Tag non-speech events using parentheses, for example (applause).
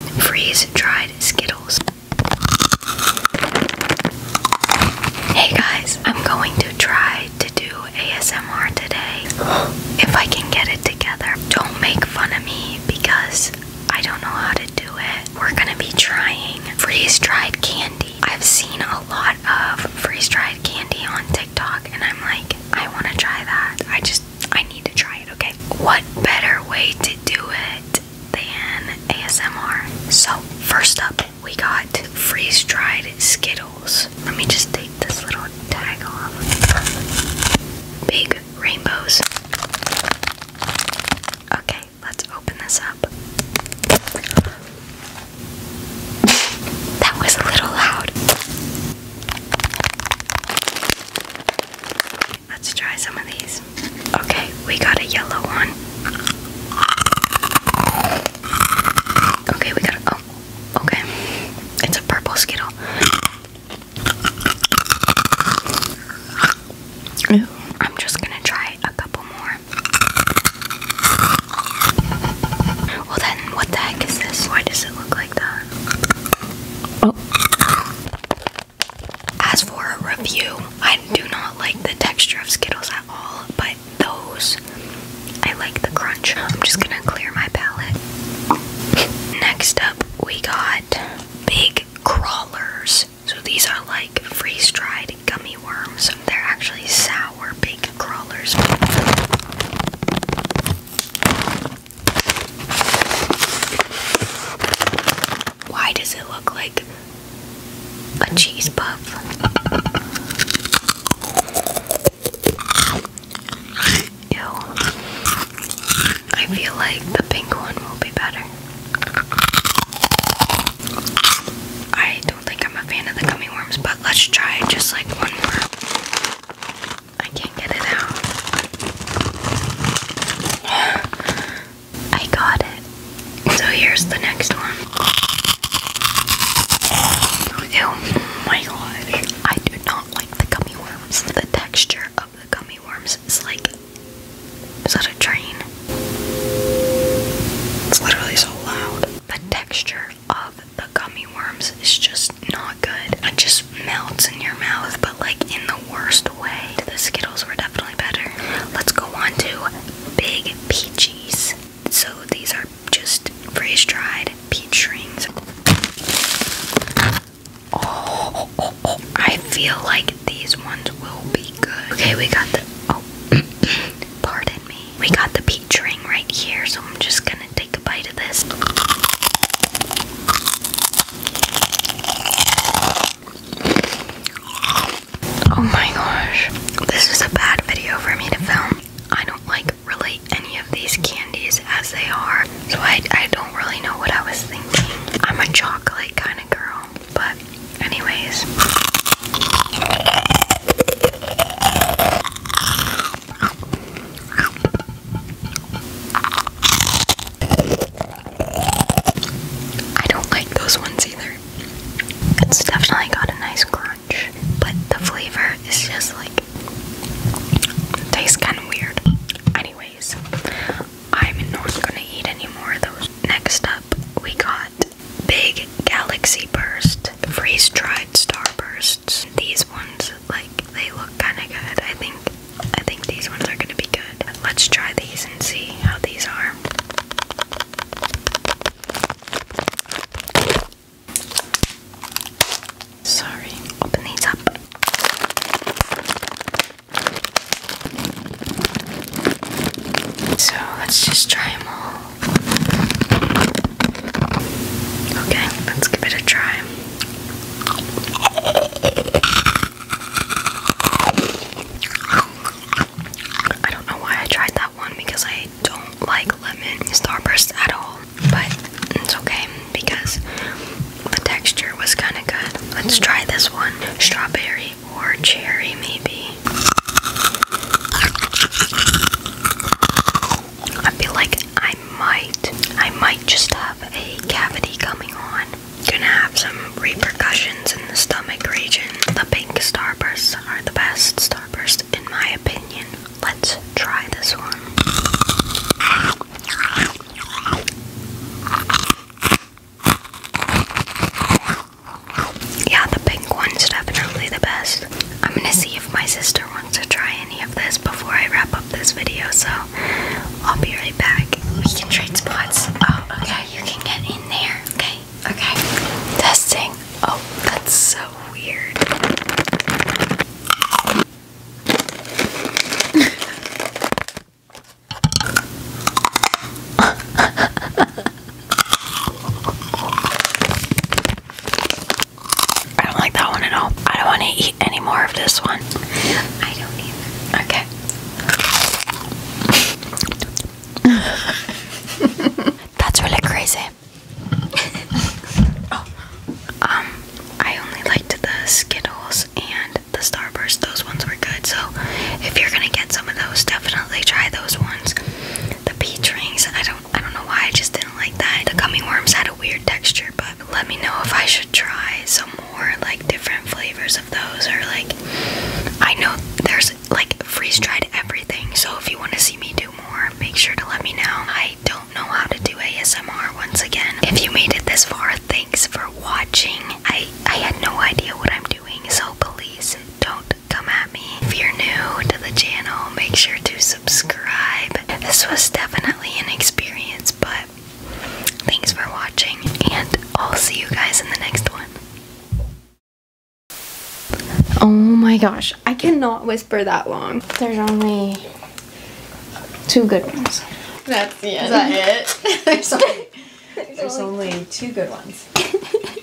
freeze-dried Skittles. Hey guys, I'm going to try to do ASMR today. If I can get it together. Don't make fun of me because I don't know how to do it. We're gonna be trying freeze-dried candy. I've seen a lot of freeze-dried candy on TikTok and I'm like, I wanna try that. I just I need to try it, okay? What better way to do it than ASMR? So, first up, we got freeze dried Skittles. Let me just take this little tag off. Big rainbows. Okay, let's open this up. That was a little loud. Let's try some of these. Okay, we got a yellow one. Okay, we got a. Oh, okay. It's a purple Skittle. Ew. I'm just gonna try a couple more. Well, then, what the heck is this? Why does it look like that? Oh. As for a review, I do not like the texture of Skittles at all, but those, I like the crunch. I'm just gonna clear my palette. Next up, we got Big Crawlers. So these are like freeze dried gummy worms. They're actually sour Big Crawlers. Why does it look like a cheese puff? Ew. I feel like the pink one will be better. I don't think I'm a fan of the gummy worms, but let's try just like one more. I can't get it out. I got it. So here's the next one. Oh my gosh. I do not like the gummy worms. The texture of the gummy worms is like. Is that a train? It's literally so loud. The texture of the gummy worms is just not good. It just melts in your mouth, but like in the worst way. The Skittles were definitely better. Let's go on to Big Peaches. So these are just freeze dried peach rings. Oh, I feel like these ones will be good. Okay, we got the. Oh, (clears throat) pardon me. We got the peach ring right here, so I'm just gonna Take a bite of this. Oh my gosh. This is a bad video for me to film. I don't like really any of these candies as they are, so I, I don't really know what I was thinking. I'm a chocolate kind of girl, but, anyways. I don't like those ones either. It's definitely got a nice crunch, but the flavor is just like tastes kind of weird. Anyways, I'm not gonna eat any more of those. Next up, we got Big Galaxy Burst freeze dried starbursts. These ones, like, they look kind of good. I think I think these ones are gonna be good. Let's try these and see how these are. Sorry, open these up. So let's just try them all. Okay, let's give it a try. I don't know why I tried that one because I don't like lemon starburst at all, but it's okay because the texture was kind of good. Let's try this one strawberry or cherry, maybe. I feel like I might, I might just have a cavity coming on. Gonna have some repercussions in the stomach region. The pink starbursts are the best starburst in my opinion. Let's try this one. Yeah, the pink one's definitely the best. I'm gonna see if my sister wants to try any of this before I wrap up this video, so I'll be right back. We can trade spots. Oh, okay, you can get in there. Okay, okay. Testing. Oh, that's so weird. (laughs) I don't like that one at all. I don't want to eat any more of this one. I don't either. Okay. (laughs) That's really crazy. (laughs) Um, I only liked the Skittles and the Starburst. Those ones were good. So if you're gonna get some of those, definitely try those ones. The peach rings, I don't I don't know why I just didn't like that. The gummy worms had a weird texture, but let me know if I should try some more like different flavors of those or like I know there's like freeze dried everything, so if you want to see me do more, make sure to let me know. I don't know how to do ASMR once again. If you made it this far, thanks for watching. I I had no idea what I'm doing, so please don't come at me. If you're new to the channel, make sure to subscribe. This was definitely an experience, but thanks for watching, and I'll see you guys in the next one. Oh my gosh, I cannot whisper that long. There's only two good ones. That's the that it? (laughs) there's only two good ones. (laughs)